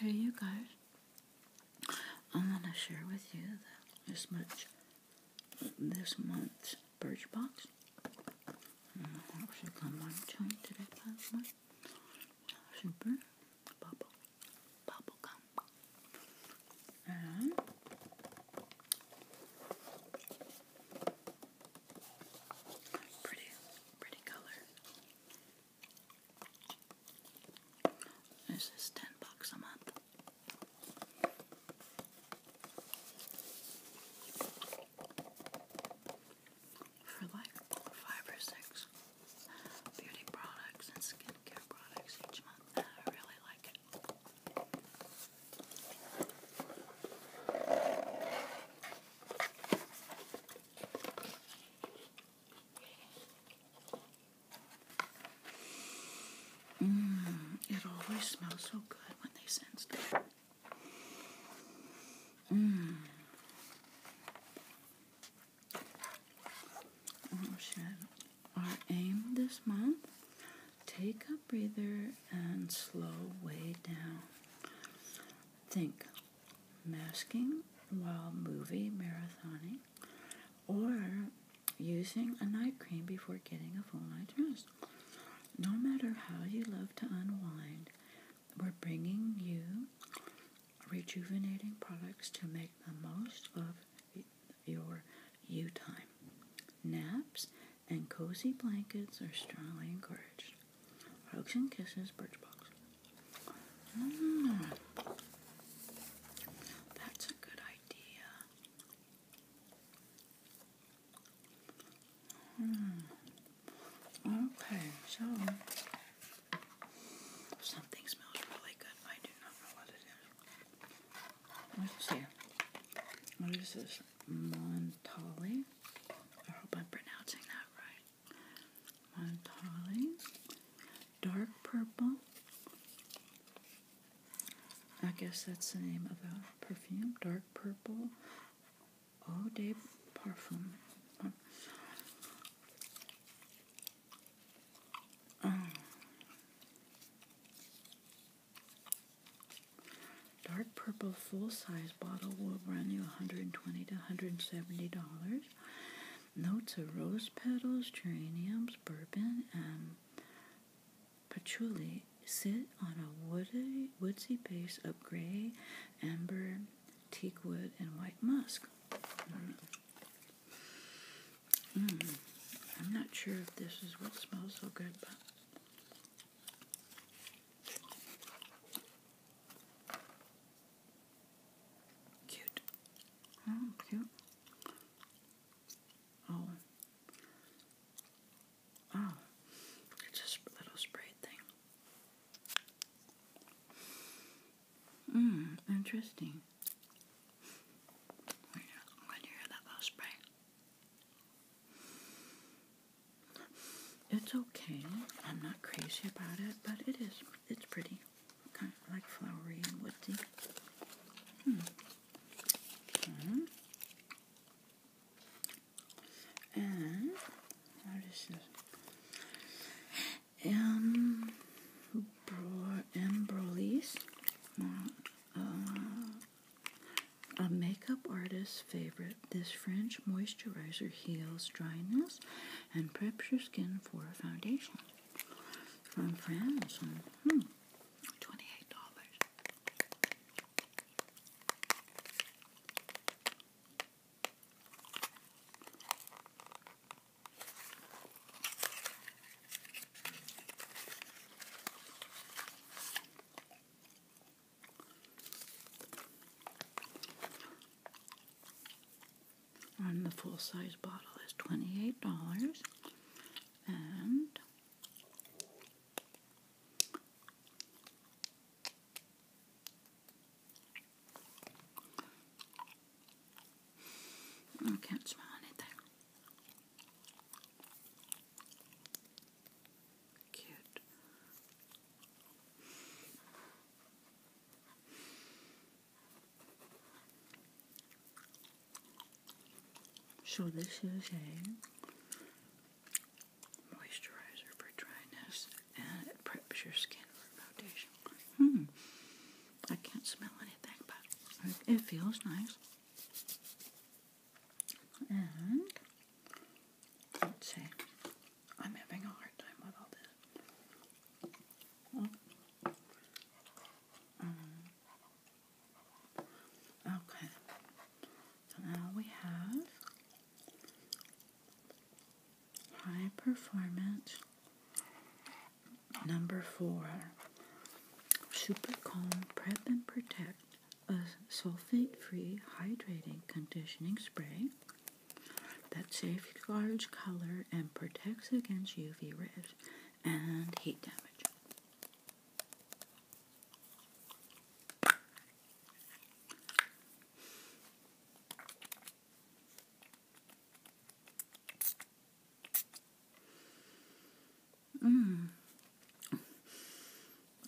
Hey you guys, I want to share with you this much this month's Birch Box. Mm-hmm. Super bubble, bubble gum. pretty, pretty color. This is ten bucks a month. For like five or six beauty products and skincare products each month. I really like it. Mm, it always smells so good when they sense it. Mm. Oh, Our aim this month take a breather and slow way down. Think masking while movie marathoning, or using a night cream before getting a full night's rest. No matter how you love to unwind, we're bringing you rejuvenating products to make the most of your U time. Naps and cozy blankets are strongly encouraged. Hugs and Kisses Birchbox. Mm. That's a good idea. Hmm. Okay, so something smells really good. I do not know what it is. Let's What is this? Montali? I hope I'm pronouncing that right. Montale, dark purple. I guess that's the name of a perfume. Dark purple, Oh, day Parfum. Dark purple full-size bottle will run you $120 to $170. Notes of rose petals, geraniums, bourbon, and patchouli sit on a woodsy base of gray, amber, teak wood, and white musk. Hmm. I'm not sure if this is what smells so good, but Cute. Oh, cute. Oh. Oh. It's just a little spray thing. Mmm, interesting. i you hear that little spray. It's okay. I'm not crazy about it, but it is. It's pretty. Kind of like flowery and woody. Hmm. hmm. And what is this? Um, embrolis. Uh, a makeup artist's favorite, this French moisturizer heals dryness and preps your skin for a foundation. From France, hmm, twenty-eight dollars. And the full size bottle is $28. And I can't smell anything. So this is a moisturizer for dryness and it preps your skin for foundation. Hmm. I can't smell anything, but it feels nice. And let's see. I'm having a hard time with all this. Oh. Um, okay. So now we have high performance number four. Super calm, prep and protect a sulfate-free hydrating conditioning spray that safeguards color and protects against UV rays and heat damage. Mm,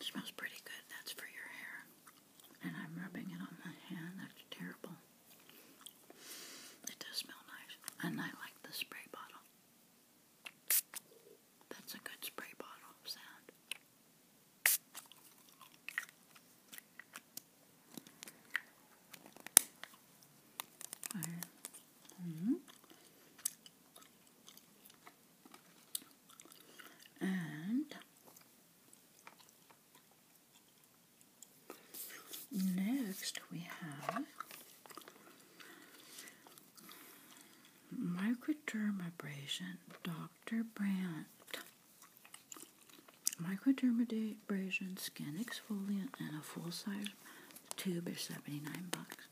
smells pretty good. That's for your hair. And I'm rubbing it on my hand. That's terrible. It does smell nice. And I like the spray bottle. That's a good spray bottle sound. -hmm and next we have microderm abrasion Dr. Brandt microdermabrasion skin exfoliant and a full-size tube is 79 bucks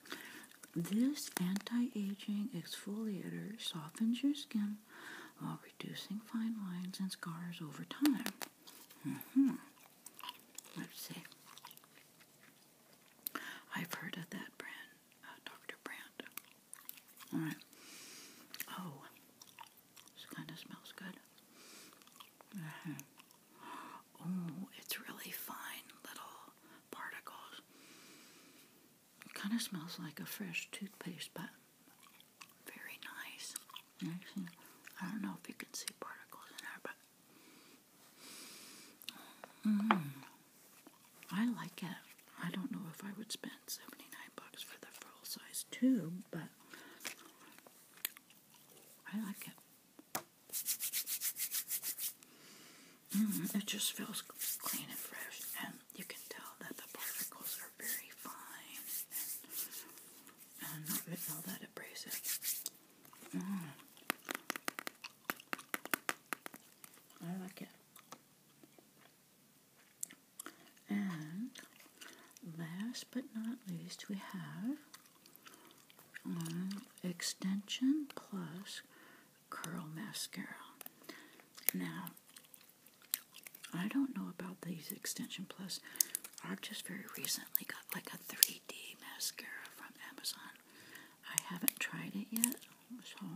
this anti-aging exfoliator softens your skin while reducing fine lines and scars over time. Mm-hmm. Let's see. I've heard of that brand, uh, Dr. Brand. All right. Oh, this kind of smells good. Mm-hmm. Oh, it's really fine little particles. Kind of smells like a fresh toothpaste, but very nice. I don't know if you can see particles in there, but mm. I like it. I don't know if I would spend seventy nine bucks for the full size tube, but I like it. Mm-hmm. it just feels clean and fresh, and you can tell that the particles are very fine and, not getting all that abrasive. Mm-hmm. I like it. And last but not least, we have um, Extension Plus curl mascara. Now, I don't know about these Extension Plus. I've just very recently got like a 3D mascara from Amazon. I haven't tried it yet, so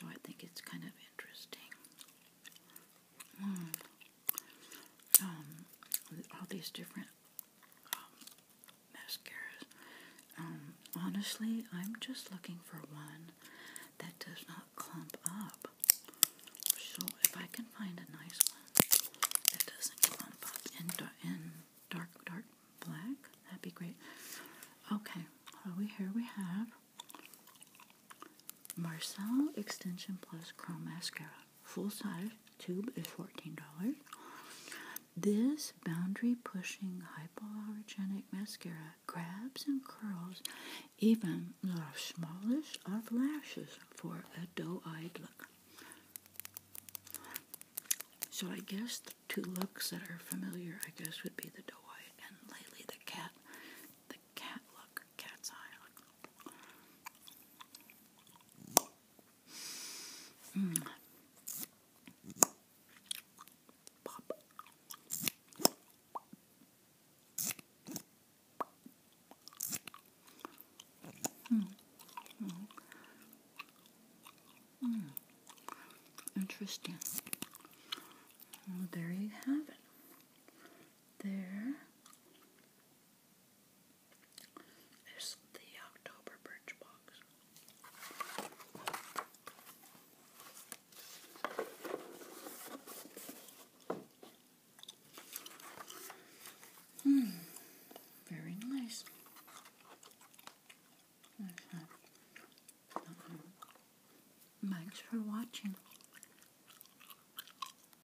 So I think it's kind of interesting. Mm. all these different um, mascaras. Um, honestly, I'm just looking for one that does not clump up. So if I can find a nice one that doesn't clump up in, in dark, dark black, that'd be great. Okay, so we, here we have Marcel Extension Plus Chrome Mascara full size tube is $14. This boundary pushing hypoallergenic mascara grabs and curls even the smallest of lashes for a doe eyed look. So I guess the two looks that are familiar, I guess, would be the doe-eyed and lately the cat, the cat look cat's eye. Hmm. Pop. Mm. Mm. Interesting. there you have it. There is the October Birch Box. Hmm, very nice. Thanks for watching.